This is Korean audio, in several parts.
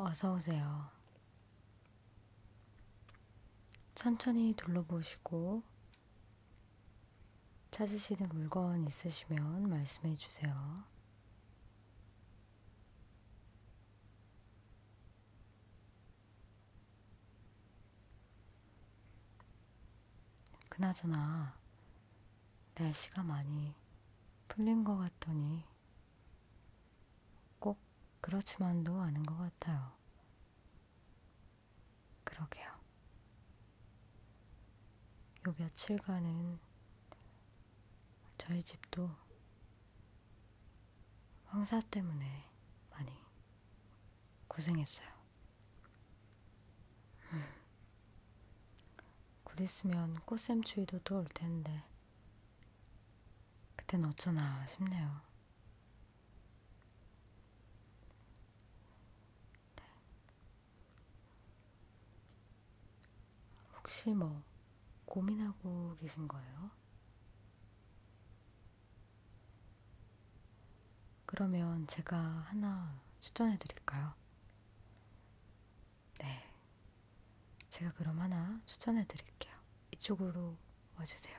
어서 오세요. 천천히 둘러보시고 찾으시는 물건 있으시면 말씀해 주세요. 그나저나 날씨가 많이 풀린 것 같더니 꼭 그렇지만도 않은 것 같아요. 그러게요. 요 며칠간은 저희 집도 황사 때문에 많이 고생했어요. 곧 있으면 꽃샘추위도 또올 텐데, 그땐 어쩌나 싶네요. 네. 혹시 뭐 고민하고 계신 거예요? 그러면 제가 하나 추천해 드릴까요? 네. 제가 그럼 하나 추천해 드릴게요. 이쪽으로 와주세요.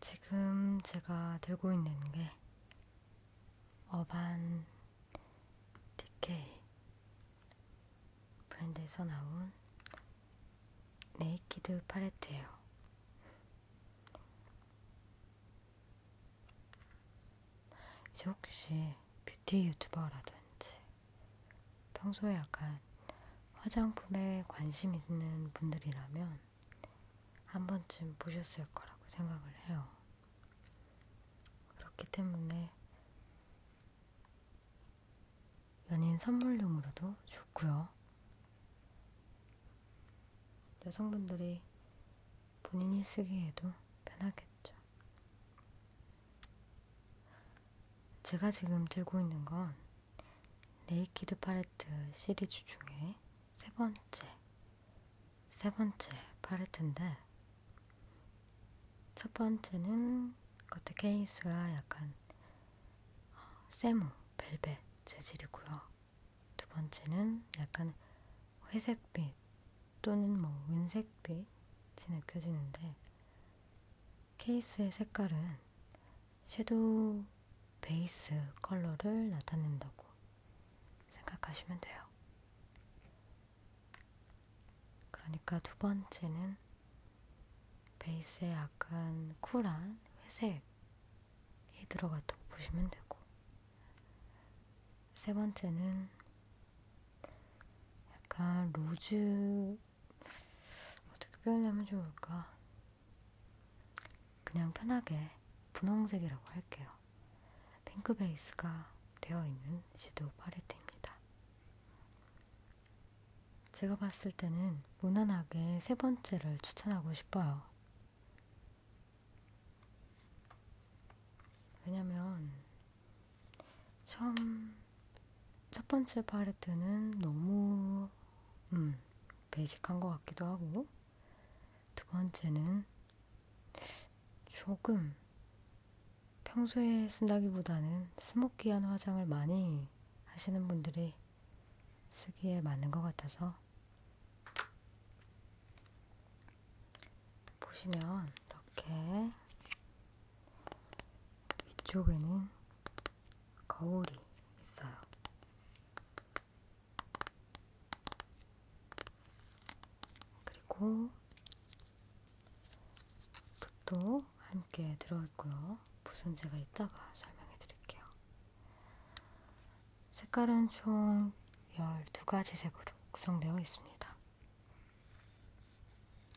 지금 제가 들고 있는 게 어반 디케이 브랜드에서 나온 네이키드 팔레트예요. 이제 혹시 뷰티 유튜버라든지 평소에 약간 화장품에 관심 있는 분들이라면 한 번쯤 보셨을 거라고 생각을 해요. 그렇기 때문에 연인 선물용으로도 좋고요. 여성분들이 본인이 쓰기에도 편하겠죠. 제가 지금 들고 있는 건 네이키드 팔레트 시리즈 중에 세 번째, 세 번째 팔레트인데 첫 번째는 겉에 케이스가 약간 어, 세무, 벨벳 재질이고요. 두 번째는 약간 회색빛 또는 뭐 은색빛이 느껴지는데 케이스의 색깔은 섀도우 베이스 컬러를 나타낸다고 생각하시면 돼요. 그러니까 두 번째는 베이스에 약간 쿨한 회색이 들어갔다고 보시면 되고, 세 번째는 약간 로즈 어떻게 표현하면 좋을까? 그냥 편하게 분홍색이라고 할게요. 핑크 베이스가 되어 있는 섀도우 팔레트입니다. 제가 봤을 때는 무난하게 세 번째를 추천하고 싶어요. 왜냐면 처음 첫 번째 팔레트는 너무 음, 베이직한 것 같기도 하고 두 번째는 조금 평소에 쓴다기보다는 스모키한 화장을 많이 하시는 분들이 쓰기에 맞는 것 같아서 보시면 이렇게 위쪽에는 거울이 있어요. 그리고 붓도 함께 들어있고요. 붓은 제가 이따가 설명해 드릴게요. 색깔은 총 12가지 색으로 구성되어 있습니다.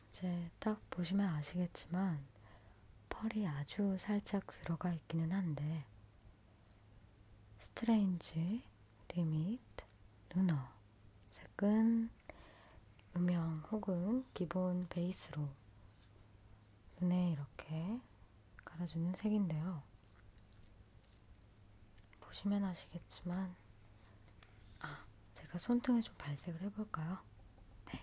이제 딱 보시면 아시겠지만 펄이 아주 살짝 들어가 있기는 한데 스트레인지, 리미트, 루너 색은 음영 혹은 기본 베이스로 눈에 이렇게 깔아주는 색인데요. 보시면 아시겠지만 아, 제가 손등에 좀 발색을 해볼까요? 네.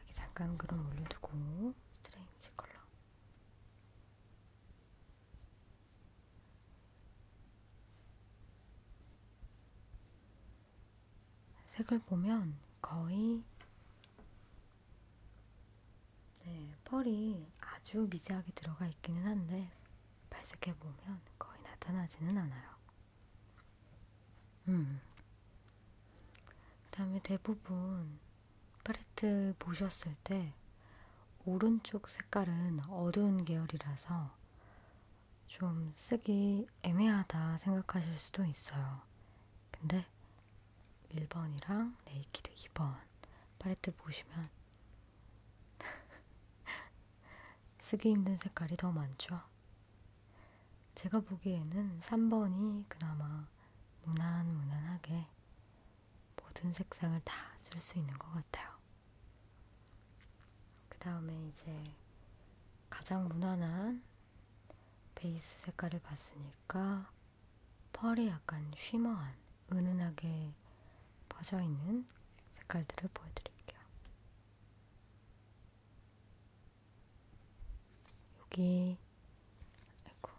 여기 잠깐 그럼 올려두고 스트레인지 컬러 색을 보면 거의 네, 펄이 아주 미세하게 들어가 있기는 한데 발색해 보면 거의 나타나지는 않아요. 음. 그 다음에 대부분 팔레트 보셨을 때 오른쪽 색깔은 어두운 계열이라서 좀 쓰기 애매하다 생각하실 수도 있어요. 근데 1번이랑 네이키드 2번 팔레트 보시면 쓰기 힘든 색깔이 더 많죠. 제가 보기에는 3번이 그나마 무난무난하게 모든 색상을 다 쓸 수 있는 것 같아요. 그 다음에 이제 가장 무난한 베이스 색깔을 봤으니까 펄이 약간 쉬머한 은은하게 퍼져있는 색깔들을 보여드릴게요. 여기 아이고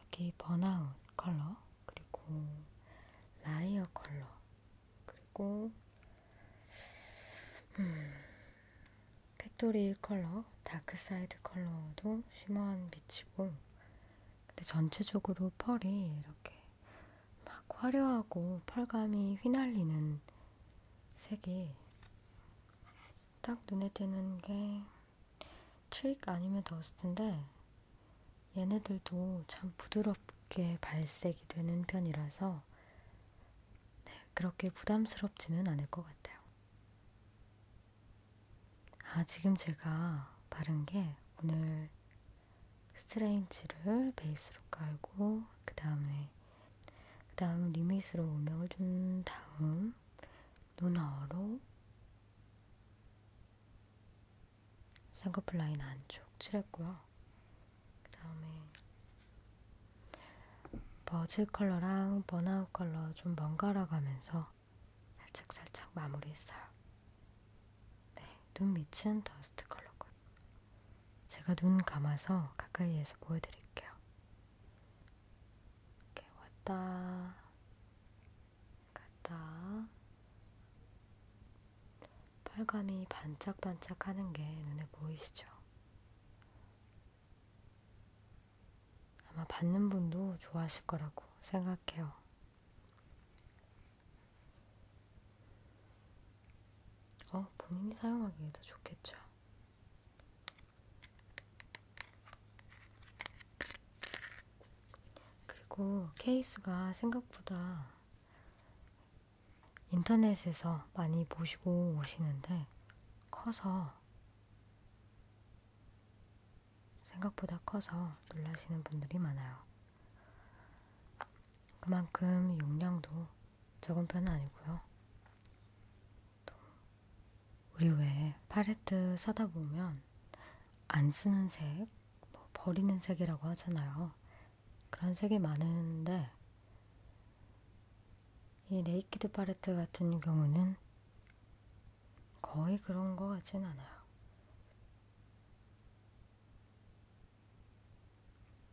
여기 번아웃 컬러 그리고 라이어 컬러 그리고 음, 팩토리 컬러 다크 사이드 컬러도 쉬머한 빛이고 근데 전체적으로 펄이 이렇게 막 화려하고 펄감이 휘날리는 색이 딱 눈에 띄는 게 트릭 아니면 더스트인데 얘네들도 참 부드럽게 발색이 되는 편이라서 네, 그렇게 부담스럽지는 않을 것 같아요. 아, 지금 제가 바른 게 오늘 스트레인지를 베이스로 깔고 그 다음에 그 다음 리밋으로 음영을 준 다음 눈어로 쌍꺼풀 라인 안쪽 칠했고요. 그 다음에 버즈 컬러랑 번아웃 컬러 좀 번갈아 가면서 살짝살짝 마무리했어요. 네, 눈 밑은 더스트 컬러고요. 제가 눈 감아서 가까이에서 보여드릴게요. 이렇게 왔다 갔다 빨감이 반짝반짝 하는 게 눈에 보이시죠? 아마 받는 분도 좋아하실 거라고 생각해요. 어, 본인이 사용하기에도 좋겠죠. 그리고 케이스가 생각보다 인터넷에서 많이 보시고 오시는데 커서 생각보다 커서 놀라시는 분들이 많아요. 그만큼 용량도 적은 편은 아니고요. 또 우리 왜 팔레트 사다 보면 안 쓰는 색, 뭐 버리는 색이라고 하잖아요. 그런 색이 많은데 이 네이키드 팔레트 같은 경우는 거의 그런 거 같진 않아요.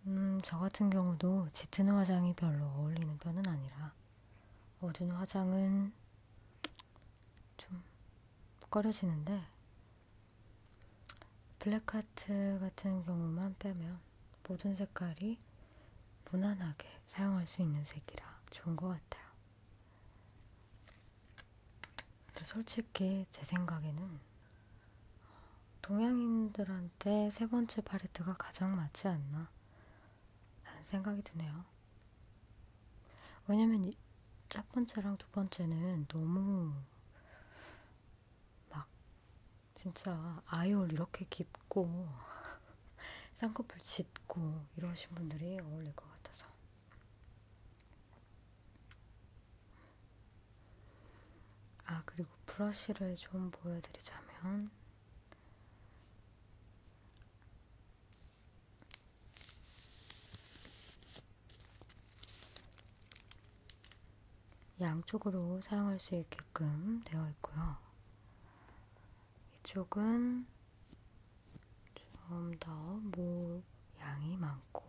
음, 저 같은 경우도 짙은 화장이 별로 어울리는 편은 아니라 어두운 화장은 좀 꺼려지는데 블랙하트 같은 경우만 빼면 모든 색깔이 무난하게 사용할 수 있는 색이라 좋은 것 같아요. 근데 솔직히 제 생각에는 동양인들한테 세 번째 팔레트가 가장 맞지 않나 라는 생각이 드네요. 왜냐면 첫 번째랑 두 번째는 너무 막 진짜 아이홀 이렇게 깊고 쌍꺼풀 짙고 이러신 분들이 어울릴 것 같아서 아, 그리고 브러쉬를 좀 보여드리자면, 양쪽으로 사용할 수 있게끔 되어 있고요. 이쪽은 좀 더 모양이 많고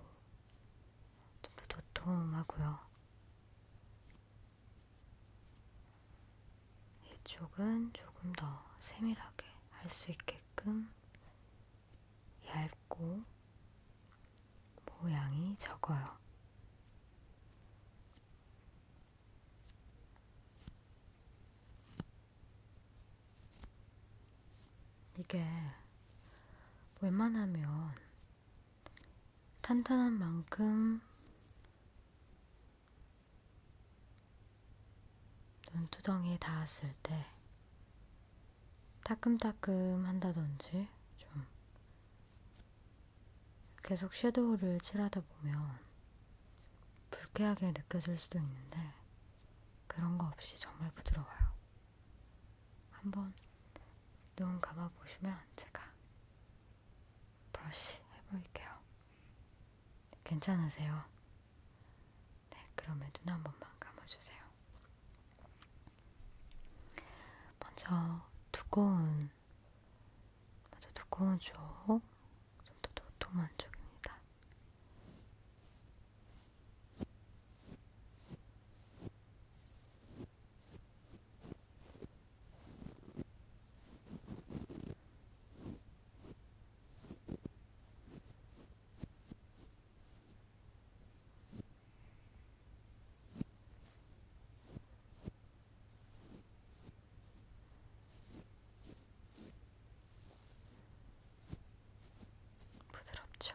좀 더 도톰하고요. 이쪽은 조금 더 세밀하게 할 수 있게끔 얇고 모양이 적어요. 이게 웬만하면 탄탄한 만큼 눈두덩이에 닿았을 때 따끔따끔 한다든지 좀 계속 섀도우를 칠하다 보면 불쾌하게 느껴질 수도 있는데 그런 거 없이 정말 부드러워요. 한번 눈 감아보시면 제가 브러쉬 해볼게요. 괜찮으세요? 네, 그러면 눈 한 번만 감아주세요. 먼저 두꺼운, 먼저 두꺼운 쪽, 좀 더 도톰한 쪽입니다. 부드럽죠?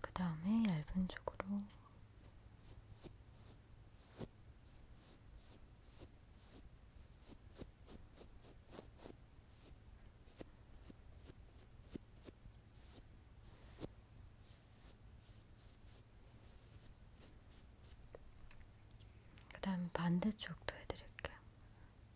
그 다음에 얇은 쪽으로 그 다음에 반대쪽도 해드릴게요.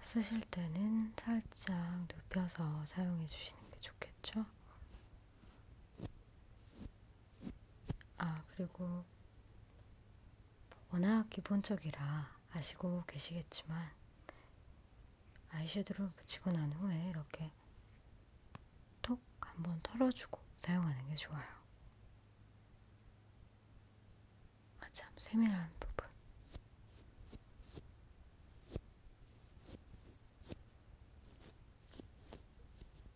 쓰실 때는 살짝 눕혀서 사용해 주시는 게 좋겠죠? 아, 그리고 워낙 기본적이라 아시고 계시겠지만 아이섀도우를 붙이고 난 후에 이렇게 톡 한번 털어주고 사용하는 게 좋아요. 아 참 세밀한 부분.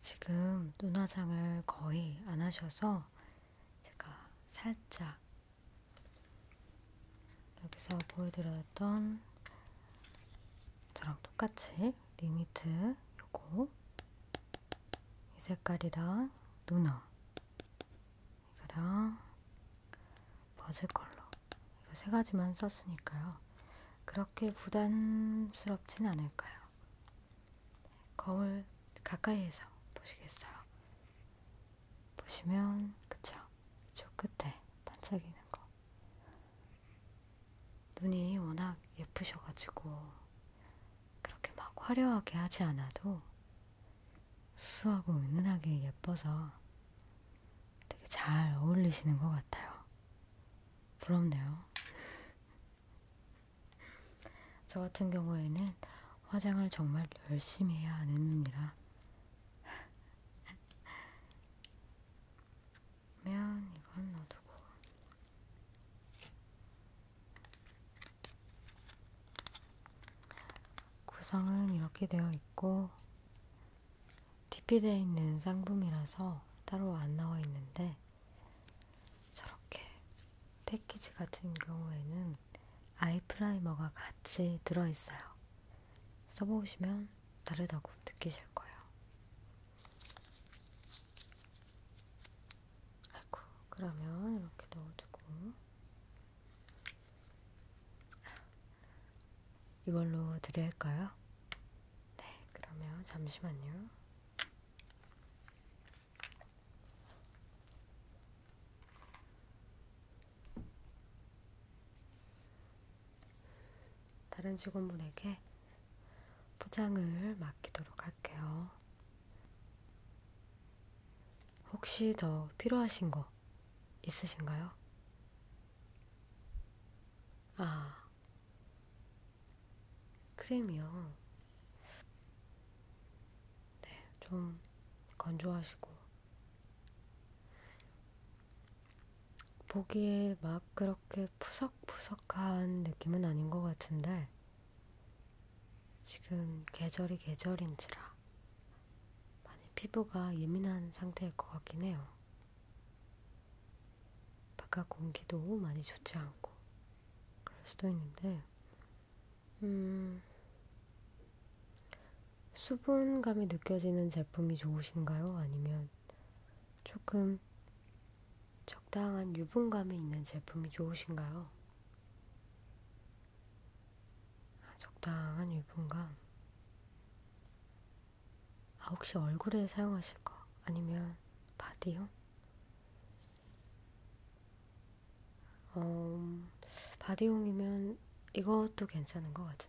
지금 눈화장을 거의 안 하셔서 제가 살짝 여기서 보여드렸던 저랑 똑같이 리미트 요거 이 색깔이랑 누나 이거랑 버즈 컬러 이거 세 가지만 썼으니까요. 그렇게 부담스럽진 않을까요? 거울 가까이에서 보시겠어요? 보시면 그쵸? 저 끝에 반짝이는 거 눈이 워낙 예쁘셔가지고 그렇게 막 화려하게 하지 않아도 수수하고 은은하게 예뻐서 되게 잘 어울리시는 것 같아요. 부럽네요. 저 같은 경우에는 화장을 정말 열심히 해야 하는 눈이라. 면 이건 넣어두고. 구성은 이렇게 되어 있고, DP되어 있는 상품이라서 따로 안 나와 있는데 저렇게 패키지 같은 경우에는 아이 프라이머가 같이 들어있어요. 써보시면 다르다고 느끼실 거예요. 아이고, 그러면 이렇게 넣어두고 이걸로 드릴까요? 네, 그러면 잠시만요. 다른 직원분에게 포장을 맡기도록 할게요. 혹시 더 필요하신 거 있으신가요? 아, 크림이요. 네, 좀 건조하시고. 보기에 막 그렇게 푸석푸석한 느낌은 아닌 것 같은데, 지금 계절이 계절인지라 많이 피부가 예민한 상태일 것 같긴 해요. 바깥 공기도 많이 좋지 않고 그럴 수도 있는데 음, 수분감이 느껴지는 제품이 좋으신가요? 아니면 조금 적당한 유분감이 있는 제품이 좋으신가요? 적당한 유분감. 아, 혹시 얼굴에 사용하실 거 아니면 바디요? 어, 음, 바디용이면 이것도 괜찮은 것 같은데.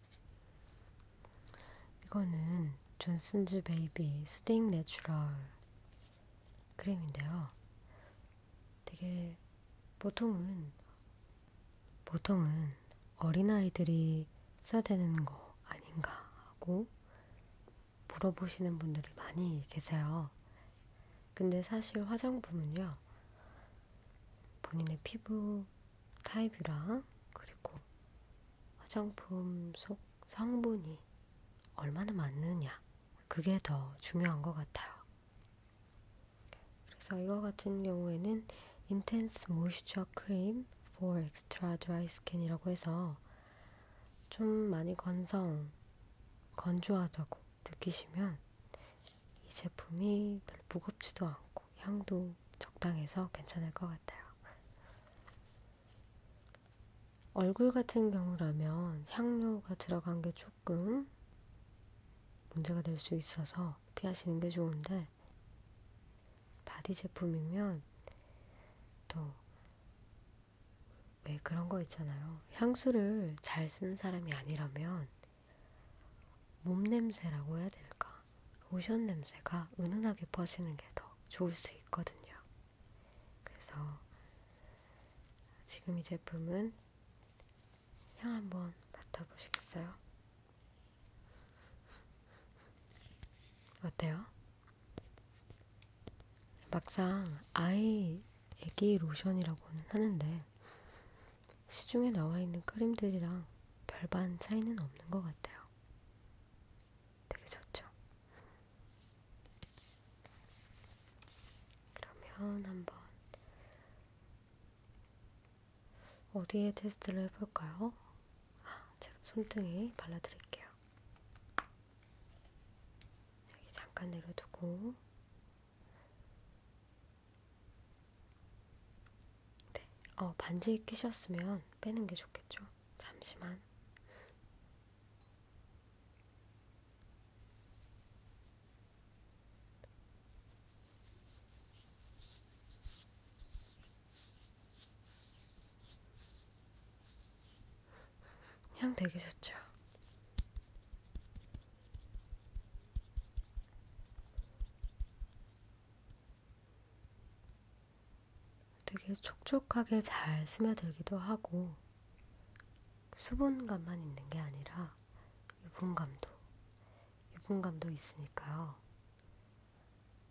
이거는 존슨즈 베이비 수딩 내추럴 크림인데요. 되게 보통은 보통은 어린아이들이 써야 되는 거 아닌가 하고 물어보시는 분들이 많이 계세요. 근데 사실 화장품은요. 본인의 피부 타입이랑 그리고 화장품 속 성분이 얼마나 많느냐 그게 더 중요한 것 같아요. 그래서 이거 같은 경우에는 Intense Moisture Cream for Extra Dry Skin이라고 해서 좀 많이 건성, 건조하다고 느끼시면 이 제품이 별로 무겁지도 않고 않고 향도 적당해서 괜찮을 것 같아요. 얼굴 같은 경우라면 향료가 들어간 게 조금 문제가 될 수 있어서 피하시는 게 좋은데 바디 제품이면 또 왜 그런 거 있잖아요. 향수를 잘 쓰는 사람이 아니라면 몸 냄새라고 해야 될까? 로션 냄새가 은은하게 퍼지는 게 더 좋을 수 있거든요. 그래서 지금 이 제품은 향 한번 맡아보시겠어요? 어때요? 막상 아이 애기 로션이라고는 하는데 시중에 나와 있는 크림들이랑 별반 차이는 없는 것 같아요. 되게 좋죠? 그러면 한번 어디에 테스트를 해볼까요? 아, 제가 손등에 발라드릴게요. 여기 잠깐 내려두고 네. 어, 반지 끼셨으면 빼는 게 좋겠죠. 잠시만. 향 되게 좋죠. 되게 촉촉하게 잘 스며들기도 하고 수분감만 있는 게 아니라 유분감도 유분감도 있으니까요.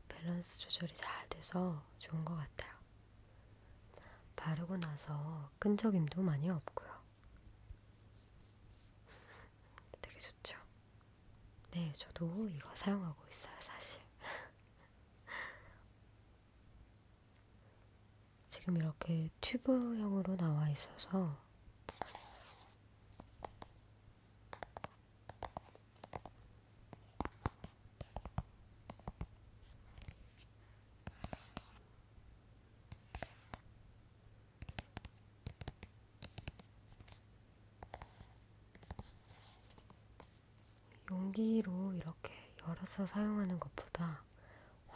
밸런스 조절이 잘 돼서 좋은 것 같아요. 바르고 나서 끈적임도 많이 없고요. 되게 좋죠. 네, 저도 이거 사용하고 있어요, 사실. 지금 이렇게 튜브형으로 나와 있어서 용기로 이렇게 열어서 사용하는 것보다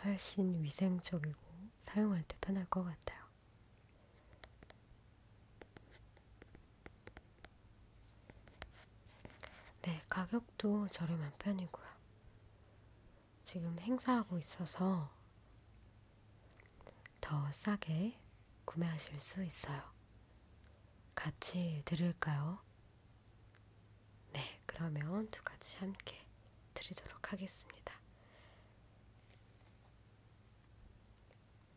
훨씬 위생적이고 사용할 때 편할 것 같아요. 네, 가격도 저렴한 편이고요. 지금 행사하고 있어서 더 싸게 구매하실 수 있어요. 같이 들을까요? 네, 그러면 두 가지 함께 드리도록 하겠습니다.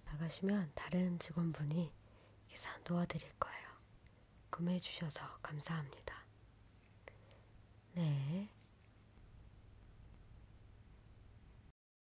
나가시면 다른 직원분이 계산 도와드릴 거예요. 구매해 주셔서 감사합니다. 네.